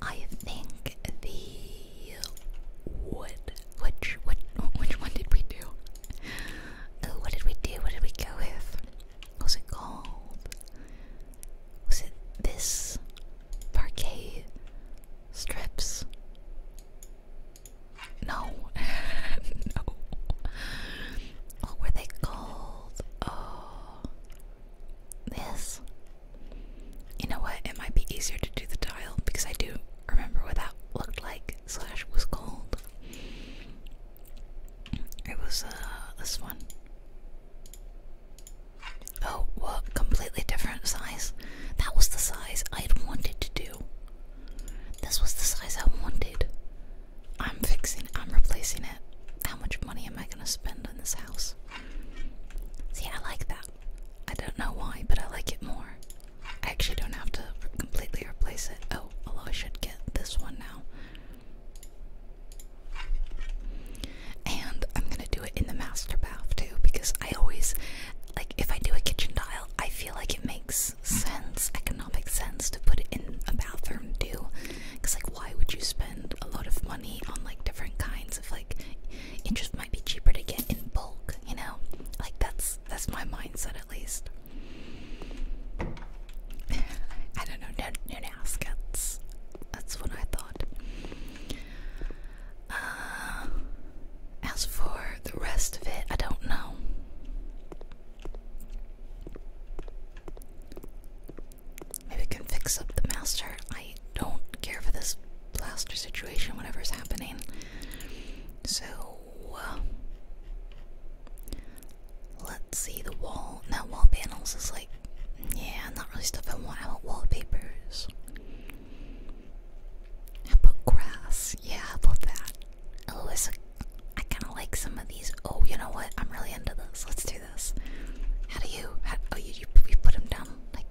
S1: I think the wood. Which what? Which one did we do? Oh, what did we do? What did we go with? was it called? Was it this parquet strips? No, [LAUGHS] no. What were they called? Oh, this. You know what? It might be easier to do the tile because I do remember what that looked like slash was called. It was uh, this one. Oh, what? Completely different size. That was the size I had wanted to do. This was the size I wanted. I'm fixing, I'm replacing it. How much money am I gonna spend on this house? See, I like that. I don't know why, but I like it more. I actually don't have to completely replace it. Oh, although I should get this one now. And I'm gonna do it in the master bath too, because I always, like, if I do a kitchen tile, I feel like it makes sense, economic sense, to put it in a bathroom too. Because, like, why would you spend a lot of money on, like, different kinds? like it just might be cheaper to get in bulk, you know? Like that's that's my mindset at least. [LAUGHS] I don't know, no, no, no that's, what I thought. Uh, as for the rest of it, I don't know. Maybe we can fix up the master. I don't care for this plaster situation, Whatever is happening. So, uh, let's see the wall. Now, wall panels is like, yeah, not really stuff I want. I want wallpapers. about grass? Yeah, about that? Oh, it's a, I kind of like some of these. Oh, you know what? I'm really into this. Let's do this. How do you? oh, you, you you put them down like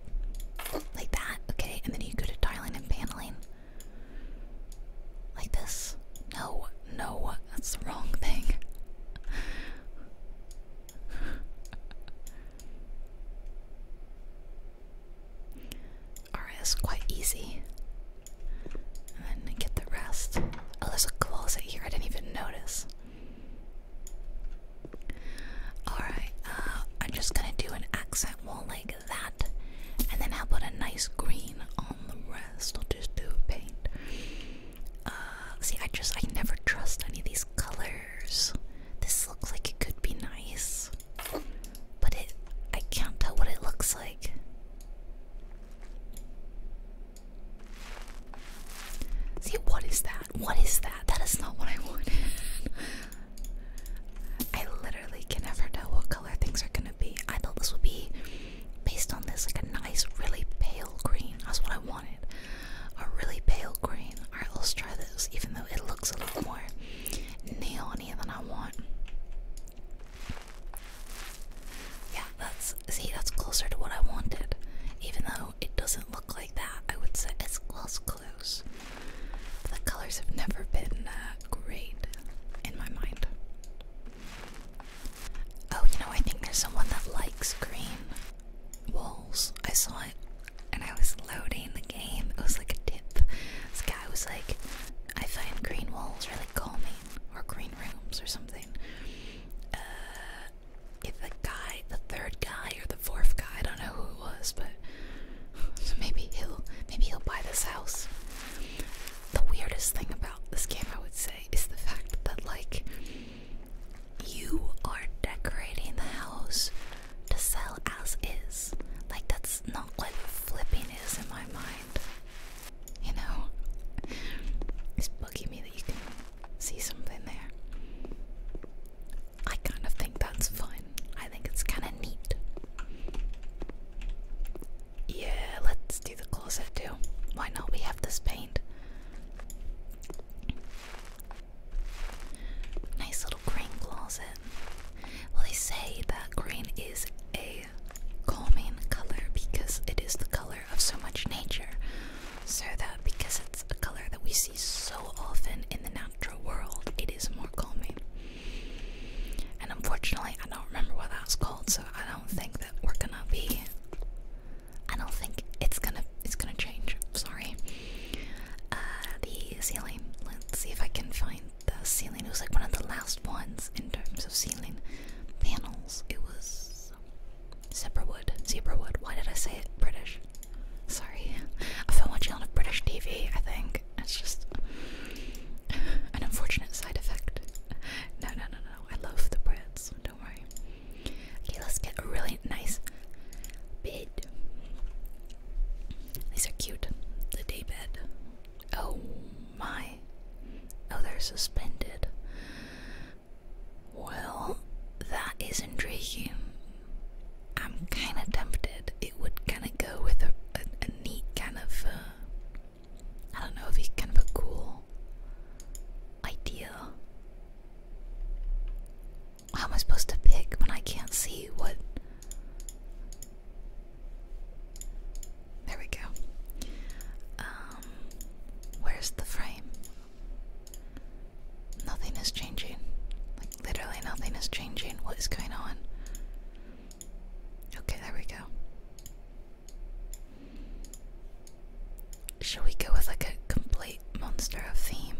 S1: like that, okay? And then you go to tiling and paneling like this. No, no, that's the wrong thing. Alright, [LAUGHS] it's quite easy. And get the rest. Oh, there's a closet here. I didn't even notice. Alright, uh, I'm just gonna do an accent wall like that, and then I'll put a nice green on the rest. I'll just do paint. Uh, see, I just, I never trust any of these colors. This looks like it could be nice, but it, I can't tell what it looks like. See, what is that? What is that? That is not what I wanted. I literally can never tell what color things are gonna be. I thought this would be based on this, like a nice, really pale green. That's what I wanted. A really pale green. Alright, let's try this, even though it looks a little more neon than I want. Yeah, that's see, that's closer to what I wanted, even though it doesn't look like that. I would say it's close, close. the colors have never been uh, great in my mind. Oh, you know, I think there's someone that likes green walls. I saw it and I was loading the game. It was like a dip. This guy was like, I find green walls really calming, or green rooms, or something. Uh, if the guy, the third guy or the fourth guy, I don't know who it was, but maybe he'll maybe he'll buy this house. The weirdest thing about this game, I would say, is the fact that like you are decorating the house to sell as is. Like that's not what flipping is in my mind. You know, it's bugging me that you can see something there. I kind of think that's fun. I think it's kind of neat. Yeah, let's do the closet too. Why not? We have this paint. Nice little green closet. Well, they say that green is a calming color because it is the color of so much nature. So that because it's a color that we see so often in the natural world, it is more calming. And unfortunately, I don't remember what that was called, so I don't think that we're gonna be. I don't think it's gonna it's gonna change. Sorry. Uh, the ceiling. Let's see if I can find the ceiling. It was like one of the last ones in terms of ceiling panels. It was Zebra wood. Zebra wood. Why did I say it British? Sorry. i feel like I'm on a British TV, I think. It's just an unfortunate side effect. No, no, no, no. I love the Brits. Don't worry. Okay, let's get a really nice bed. These are cute. The day bed. Oh my. Oh, they're suspended. Well, that is intriguing. I'm kind of tempted. It would kind of go with a, neat kind of, uh, I don't know, if kind of cool idea. How am I supposed to pick when I can't see what? There we go. Um, where's the frame? Nothing is changing. Like, literally nothing is changing. What is going on? Okay, there we go. Shall we go with like a complete monster of theme?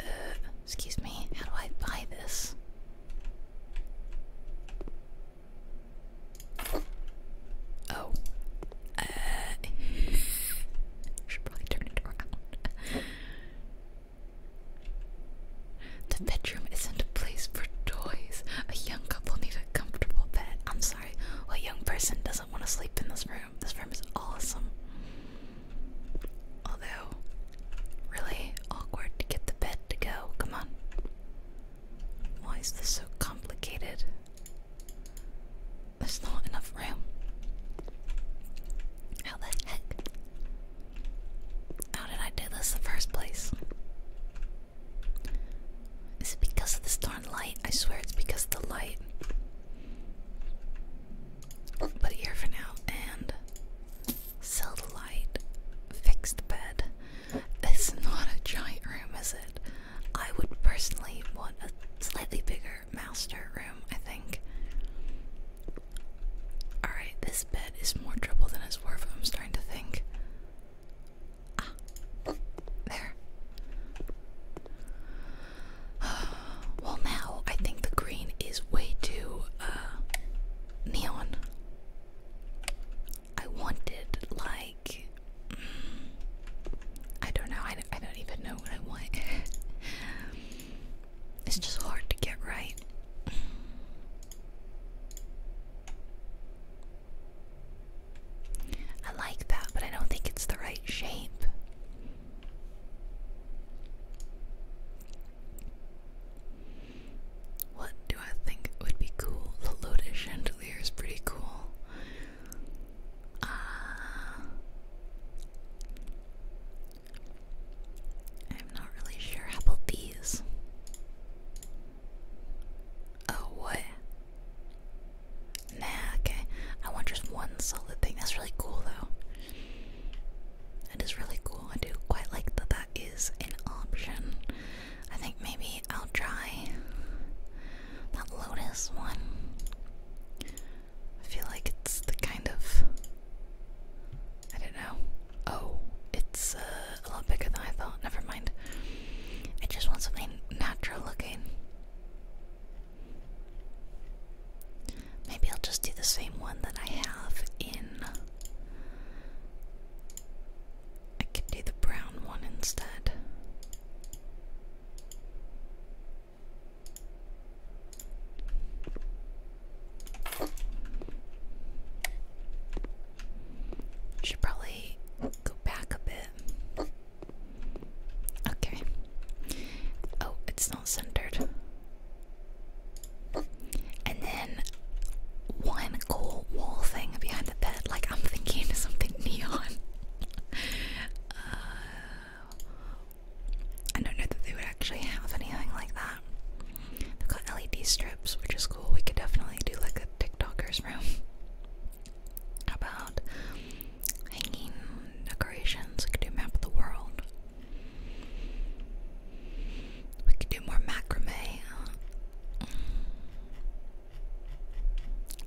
S1: Uh, excuse me, how do I buy this? Oh. Uh, [LAUGHS] should probably turn it around. The bedroom isn't a place for toys. A young couple need a comfortable bed. I'm sorry, what young person doesn't want to sleep in this room? This room is awesome. Although, really awkward to get the bed to go. Come on. Why is this so complicated? There's not enough room. How the heck? How did I do this in the first place? Is it because of this darn light? I swear it's because of the light. Put it here for now and sell the light. Fix the bed. This is not a giant room, is it? I would personally want a slightly bigger master room, I think. Alright, this bed is more trouble than it's worth, I'm starting to think. Ah, there. [SIGHS] Well, now I think the green is way too uh, neon. I wanted like mm, I don't know. I don't, I don't even know what I want. [LAUGHS] it's just hard to get right. I like that, but I don't think it's the right shape. What do I think would be cool? The lotus chandelier is pretty cool. Uh, I'm not really sure. about these? Oh, what? Nah, okay. I want just one solid thing. That's really cool, though. That is really cool. I do quite like that that is an option. I think maybe I'll try that lotus one. I feel like it's the kind of I don't know. Oh, it's uh, a lot bigger than I thought. Never mind. I just want something natural looking. Maybe I'll just do the same one that I have in I can do the brown one instead. Should probably go back a bit. Okay. Oh, it's not centered. And then one cool wall thing behind the bed. Like I'm thinking something neon. Uh, I don't know that they would actually have anything like that. They've got LED strips, which is cool. We could definitely do like a TikToker's room about hanging decorations. We could do map of the world. We could do more macrame.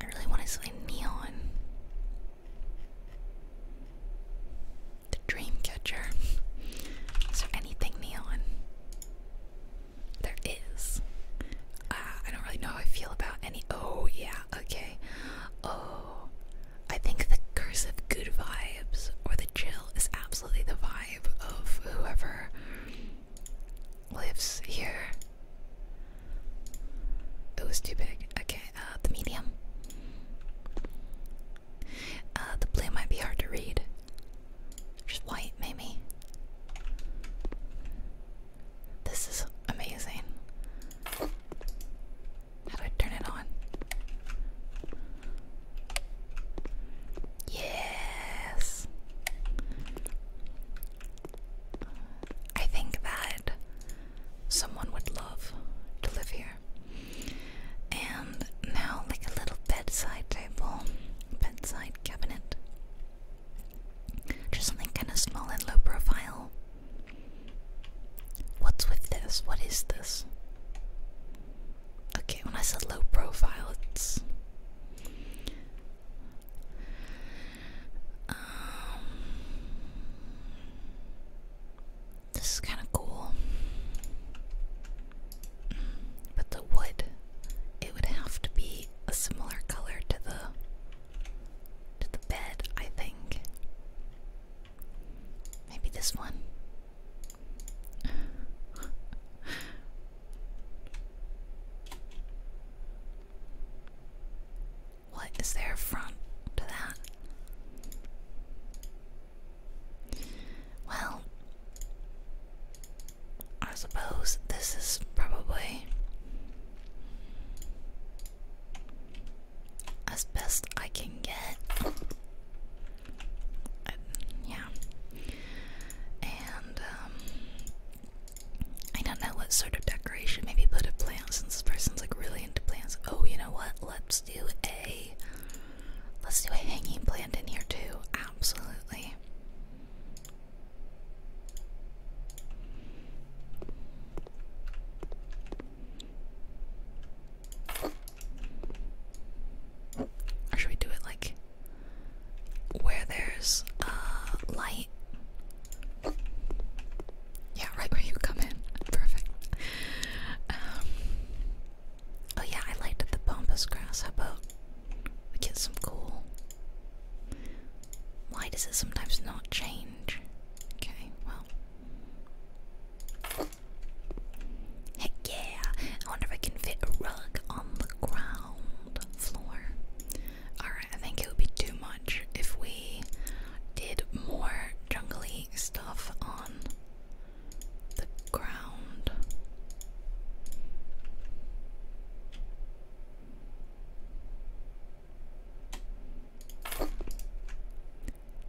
S1: I really wanted something neon. The dream catcher. Is there anything neon? There is. Ah, I don't really know how I feel about any. Oh, yeah, okay. Oh, I think the cursive good vibes or the chill is absolutely the vibe of whoever lives here. It was too big. Okay, uh, the medium. Uh, the blue might be hard to read. Just white, maybe. This is amazing. How do I turn it on? Yes. I think that someone would love to live here. And now, like a little bedside table, bedside cabinet. Just something kind of small and low profile. What's with this? What is this? Okay, when I said low profile, it's um, this is kind of cool, but the wood it would have to be a similar color to the to the bed, I think. Maybe this one. What is there from to that? Well, I suppose this is probably as best I can get. Uh, yeah. And, um, I don't know what sort of decoration. Maybe put a plant since this person's like really into plants. Oh, you know what? Let's do a let's do a hanging plant in here too. Absolutely. should we do it like where there's uh, light? Yeah, right where you come in. Perfect. Um, oh yeah, I liked the Bombus grass. How we get some cool? Why does it sometimes not change? Okay, well. Heck yeah! I wonder if I can fit a rug on the ground floor. Alright, I think it would be too much if we did more jungly stuff on the ground.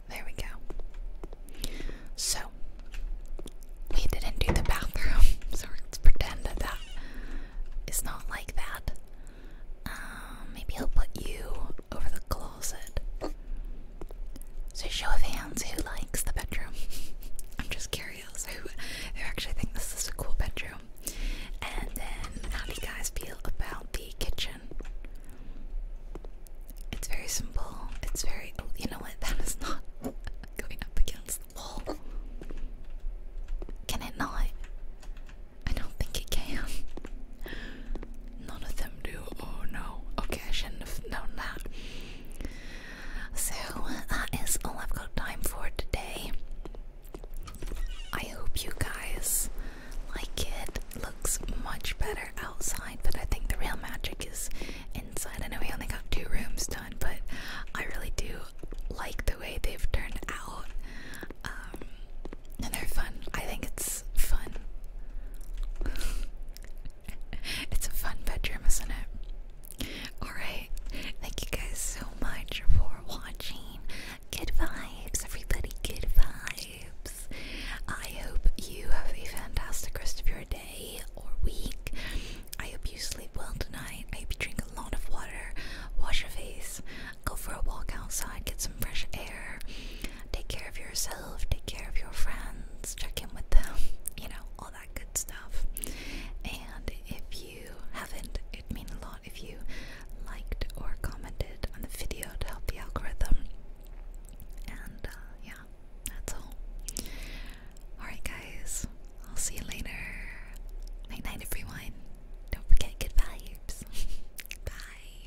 S1: There we go. So, we didn't do the bathroom, [LAUGHS] so let's pretend that it's not like that. Um, maybe he'll put you over the closet. So show of hands, who likes the bedroom? [LAUGHS] I'm just curious who who actually think this is a cool bedroom. And then how do you guys feel about the kitchen? It's very simple. It's very oh, you know what? [LAUGHS] That is not [LAUGHS] going up against the wall. Can it not? I don't think it can. None of them do. Oh no. Okay, I shouldn't have known that. So that is all I've got time for today. I hope you guys like it. Looks much better outside, but I think the real magic is inside. I know we only got two rooms done, but I really do like the the way they've turned out. Um, and they're fun. I think it's fun. [LAUGHS] it's a fun bedroom, isn't it? Alright, thank you guys so much for watching. Good vibes, everybody, good vibes. I hope you have a fantastic rest of your day or week. I hope you sleep well tonight. I hope you drink a lot of water, wash your face, go for a walk outside, get some fresh air, take care of yourself, take care of your friends, check in with them, [LAUGHS] you know, all that good stuff. And if you haven't, it'd mean a lot if you liked or commented on the video to help the algorithm. And uh, yeah, that's all. Alright, guys, I'll see you later. Night night, everyone. Don't forget good vibes. [LAUGHS] Bye.